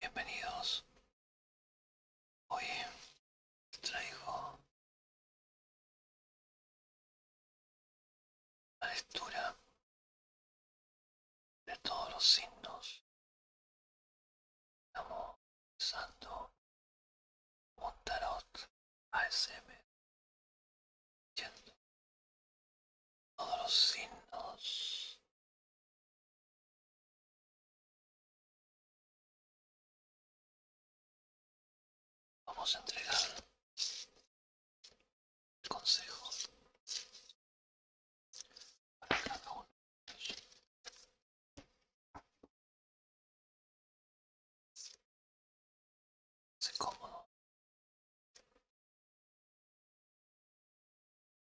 Bienvenidos. Hoy traigo la lectura de todos los signos. Estamos usando un tarot ASM todos los signos. Vamos a entregar el consejo Se cómodo.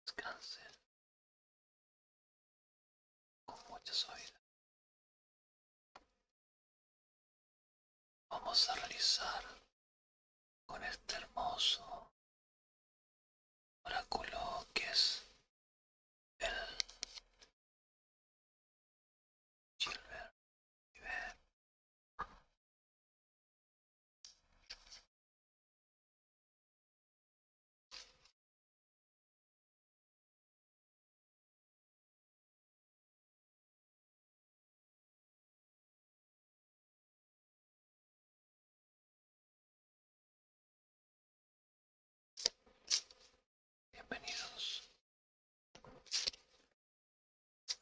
Descansen con mucha suavidad. Vamos a realizar con este hermoso oráculo que es el Silver Bienvenidos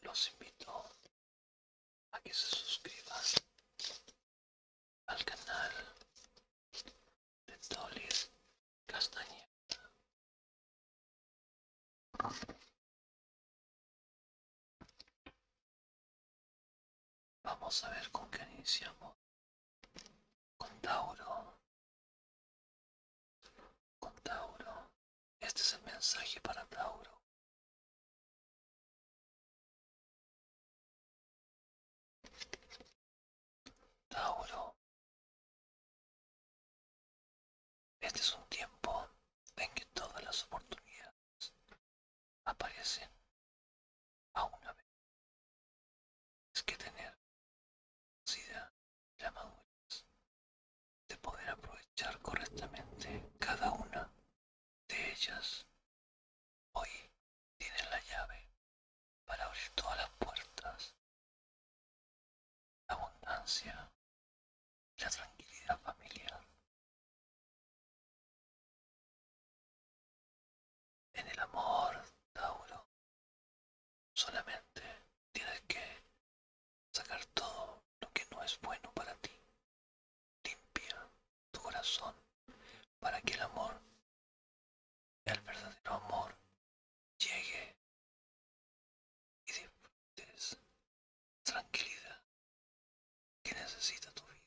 los invito a que se suscriban al canal de Tolis Castañeda. Vamos a ver con qué iniciamos. Con Tauro. Con Tauro. Este es el mensaje para Tauro. Tauro. Este es un tiempo en que todas las oportunidades aparecen a una vez. Es que tener la madurez de poder aprovechar correctamente cada una de ellas. Hoy tienen la llave para abrir todas las puertas. La abundancia, la tranquilidad familiar. En el amor, Tauro, solamente tienes que sacar todo lo que no es bueno para ti. Limpia tu corazón para que el amor, el verdadero amor, llegue y disfrutes tranquilidad que necesita tu vida.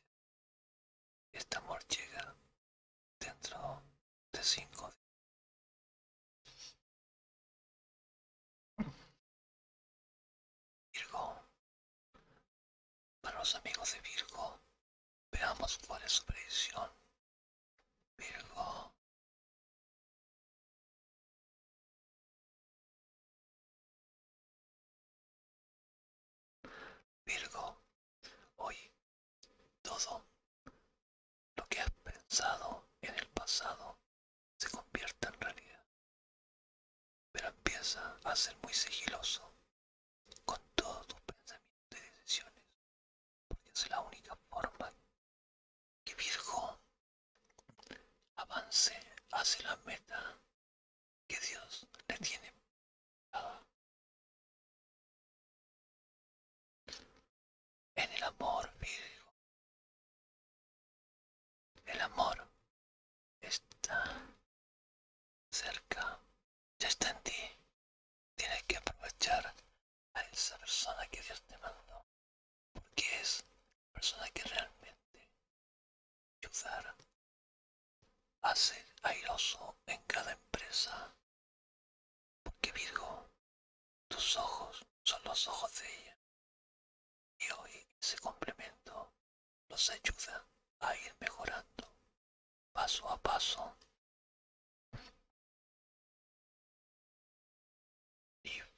Este amor llega dentro de cinco días. Virgo. Para los amigos de Virgo, veamos cuál es su predicción. Virgo. Virgo, hoy todo lo que has pensado en el pasado se convierta en realidad. Pero empieza a ser muy sigiloso con todos tus pensamientos y decisiones, porque es la única forma que Virgo avance hacia la meta que Dios le tiene en el amor vivo El amor está cerca, ya está en ti. Tienes que aprovechar a esa persona que Dios te mandó, porque es la persona que realmente ayudar a ser airoso en cada empresa, porque Virgo, tus ojos son los ojos de ella. Y hoy ese complemento los ayuda a ir mejorando paso a paso. Libra,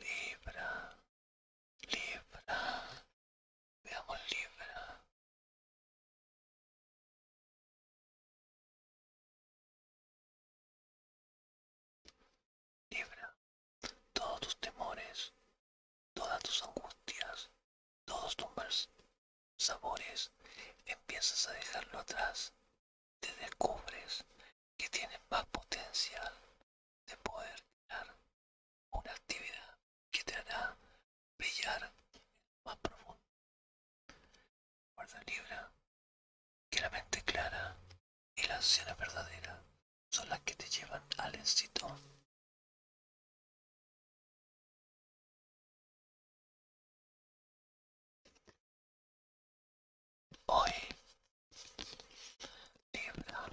Libra, Libra, veamos Libra. Libra todos tus temores, todas tus angustias, todos tus sabores, empiezas a dejarlo atrás. Te descubres que tienes más potencial de poder crear una actividad que te hará brillar más profundo Libra, que la mente clara y la anciana verdadera son las que te llevan al éxito. Hoy, Libra,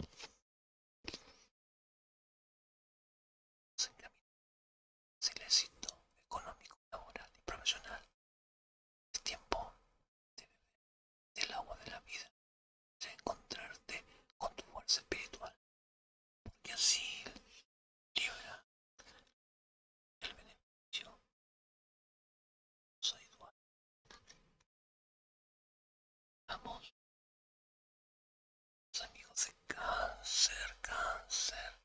es éxito económico, laboral y profesional. Es tiempo de beber del agua de la vida, de encontrarte con tu fuerza espiritual, porque así libra el beneficio dual. Vamos, los amigos de cáncer, cáncer.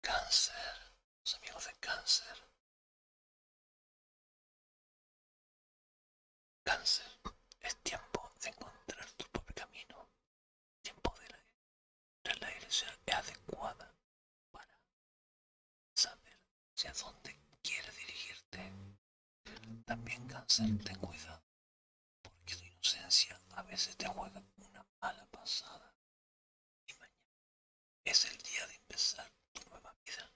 Cáncer, los amigos de cáncer. Cáncer, es tiempo de encontrar tu propio camino. Tiempo de la, de la dirección es adecuada para saber si a dónde quieres dirigirte. También cáncer, ten cuidado, porque tu inocencia a veces te juega una mala pasada y mañana es el día de empezar tu nueva vida.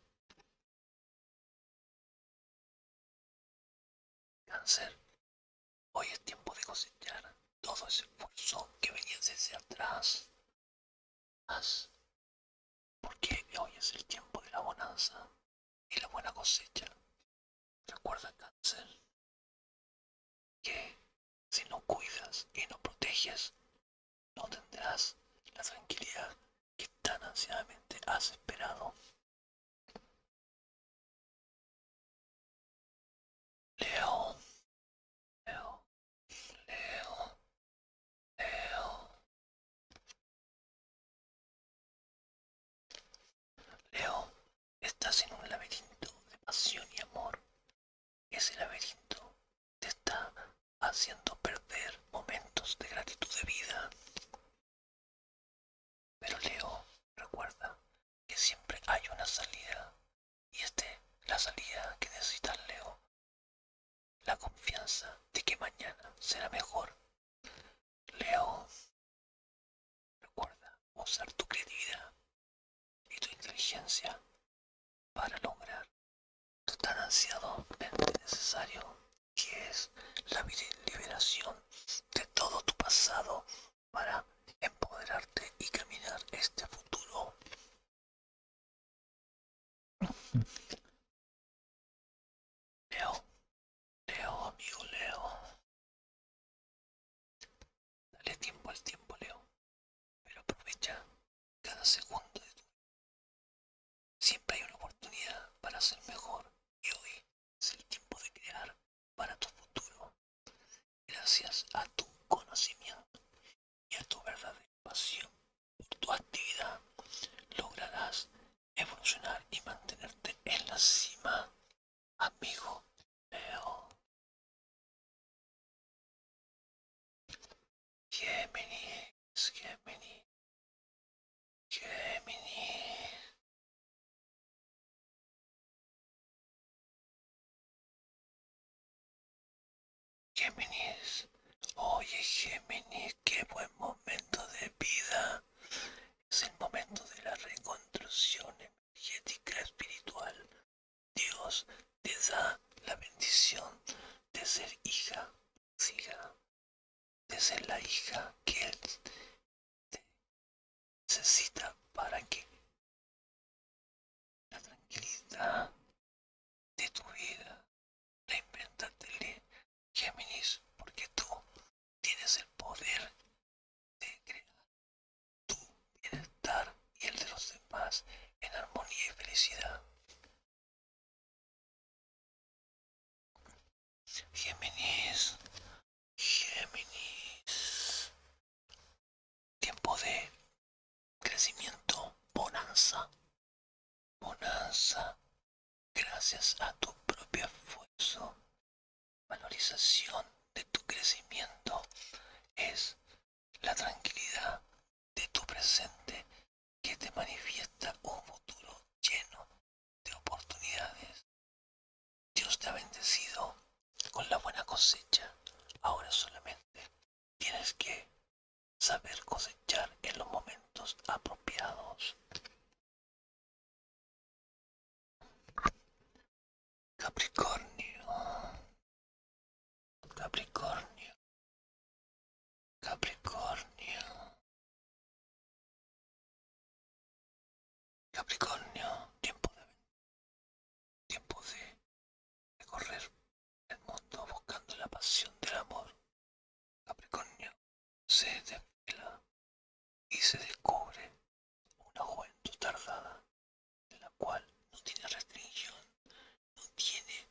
Cáncer, hoy es tiempo de cosechar todo ese esfuerzo que venía desde atrás. porque hoy es el tiempo de la bonanza y la buena cosecha. Recuerda, cáncer, que si no cuidas y no proteges, no tendrás la tranquilidad que tan ansiadamente has esperado. Leo, Leo, Leo, Leo. Leo, estás en un laberinto de pasión y amor. Ese laberinto te está haciendo perder momentos de gratitud de vida. Pero Leo, recuerda que siempre hay una salida. Y es la salida que necesita Leo. La confianza de que mañana será mejor. Leo. Recuerda usar tu creatividad y tu inteligencia para lograr tu tan ansiado y necesario que es la liberación de todo tu pasado para empoderarte y caminar este futuro. Leo, Leo, amigo Leo. Dale tiempo al tiempo, Leo, pero aprovecha cada segundo de tu vida. Siempre hay una oportunidad para ser mejor y hoy es el tiempo de crear para tu futuro. Gracias a tu conocimiento y a tu verdadera pasión por tu actividad, lograrás evolucionar y mantenerte en la cima amigo Leo. Géminis, Géminis, Géminis. Géminis, oye Géminis, qué buen momento de vida. Es el momento de la reconstrucción energética espiritual, Dios te da la bendición de ser hija, de ser la hija que Él te necesita para que la tranquilidad de tu vida la el Géminis, porque tú tienes el poder de crear tu bienestar y el de los demás en armonía y felicidad. Géminis, Géminis. Tiempo de crecimiento, bonanza, bonanza, gracias a tu propio esfuerzo valorización de tu crecimiento es la tranquilidad de tu presente que te manifiesta un futuro lleno de oportunidades. Dios te ha bendecido con la buena cosecha. Ahora solamente tienes que saber cosechar en los momentos apropiados. Capricornio. Capricornio. Capricornio. Capricornio, tiempo de tiempo de recorrer el mundo buscando la pasión del amor. Capricornio se desvela y se descubre una juventud tardada, de la cual no tiene restricción, no tiene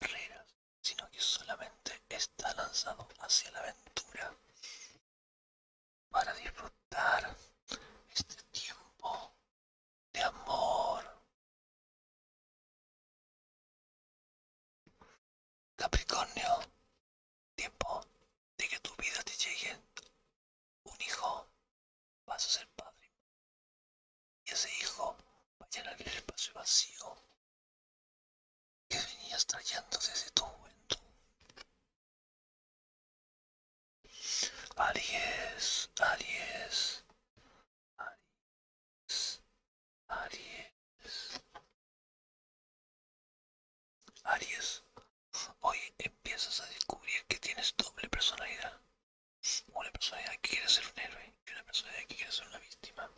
barreras, sino que solamente está lanzado hacia la aventura para disfrutar este tiempo de amor Capricornio, tiempo de que tu vida te llegue un hijo, vas a ser padre. Y ese hijo va a llenar el espacio vacío que venías trayendo desde tu juventud. Aries, Aries, Aries, Aries. Aries, hoy empiezas a descubrir que tienes doble personalidad. Una personalidad que quiere ser un héroe y una personalidad que quiere ser una víctima.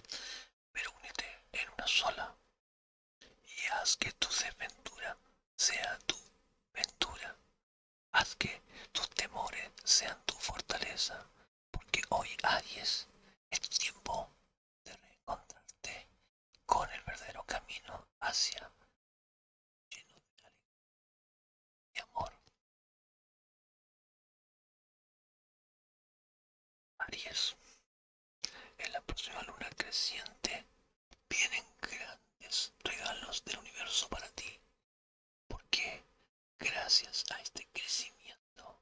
Pero únete en una sola y haz que tu desventura sea tu ventura. Haz que tus temores sean tu fortaleza. Porque hoy Aries es tiempo de reencontrarte con el verdadero camino hacia lleno de alegría y amor. Aries, en la próxima luna creciente vienen grandes regalos del universo para ti, porque gracias a este crecimiento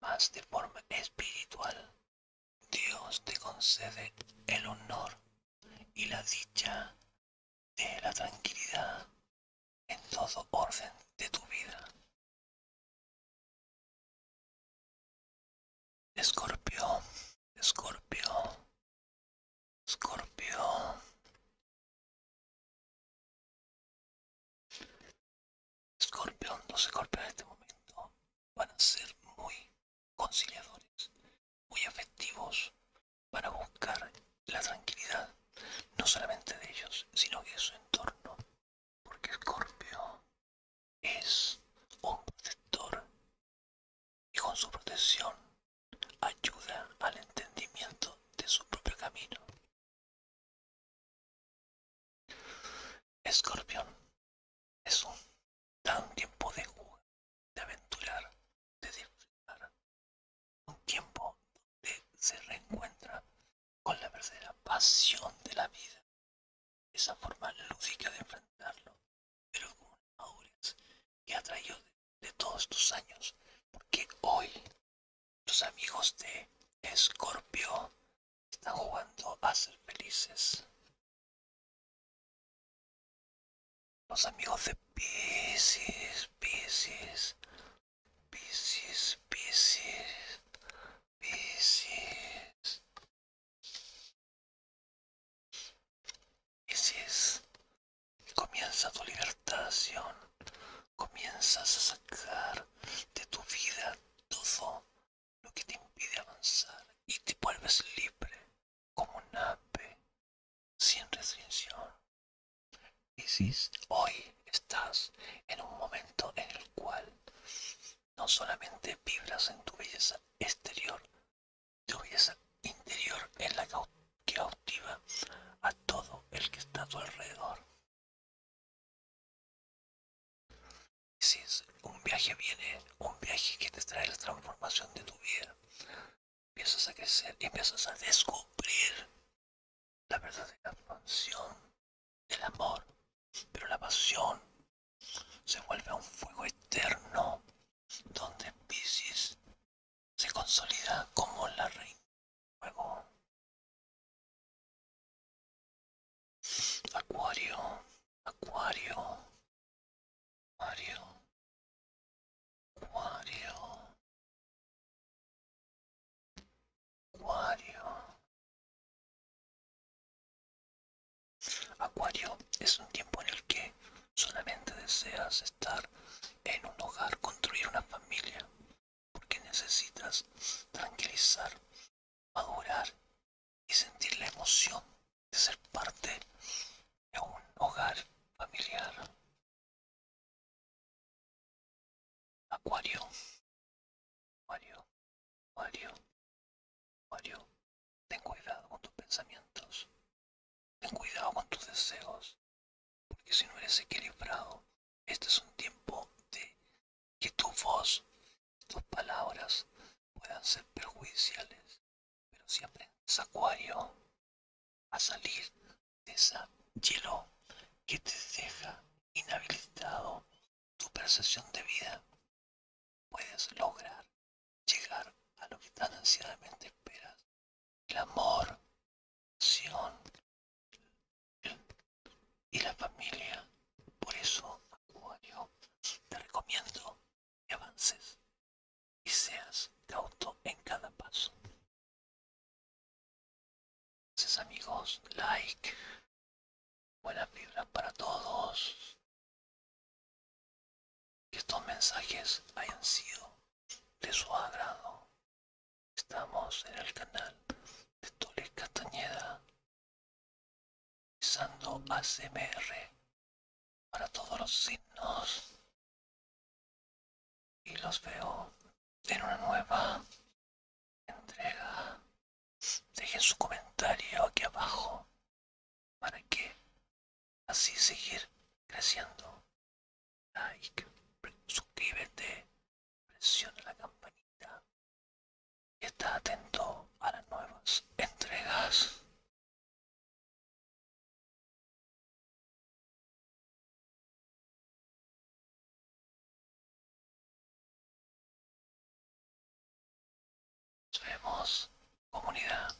más de forma espiritual. Dios te concede el honor y la dicha de la tranquilidad en todo orden de tu vida. Escorpio, Escorpio, Escorpio. Scorpion, los Scorpion en este momento van a ser muy conciliadores, muy afectivos, van a buscar la tranquilidad, no solamente de ellos, sino de su entorno, porque Scorpio es un protector y con su protección ayuda al entendimiento de su propio camino. Escorpión es un tiempo de jugar, de aventurar, de disfrutar, un tiempo donde se reencuentra con la verdadera pasión de la vida, esa forma lúdica de enfrentarlo, pero con un que ha traído de, de todos tus años, porque hoy los amigos de Escorpio están jugando a ser felices. Los amigos de Pisces, Pisces, Pisces, Pisces, Pisces. Pisces, comienza tu libertación comienzas a sacar de tu vida todo lo que te impide avanzar y te vuelves libre como un ave sin restricción. Y si hoy estás en un momento en el cual no solamente vibras en tu belleza exterior, tu belleza interior es la que cautiva a todo el que está a tu alrededor un viaje viene, eh, un viaje que te trae la transformación de tu vida. Empiezas a crecer y empiezas a descubrir la verdadera pasión, el amor, pero la pasión se vuelve a un fuego eterno donde Pisces se consolida como la reina. Luego, acuario, acuario, acuario, acuario, acuario. Acuario es un tiempo en el que solamente deseas estar en un hogar, construir una familia, porque necesitas tranquilizar, madurar y sentir la emoción de ser parte de un hogar familiar. Acuario, Acuario, Acuario, Acuario, ten cuidado con tus pensamientos, ten cuidado con tus deseos. Porque si no eres equilibrado, este es un tiempo de que tu voz, tus palabras puedan ser perjudiciales. Pero si aprendes, Acuario, a salir de ese hielo que te deja inhabilitado tu percepción de vida, puedes lograr llegar a lo que tan ansiadamente esperas el amor, pasión y la familia. Por eso, Acuario, te recomiendo que avances y seas cauto en cada paso. amigos, like, buenas vibras para todos. Que estos mensajes hayan sido de su agrado. Estamos en el canal de Tule Castañeda, usando ACMR para todos los signos. Y los veo en una nueva entrega. Dejen su comentario aquí abajo para que así seguir creciendo like, suscríbete, presiona la campanita y está atento a las nuevas entregas. comunidad.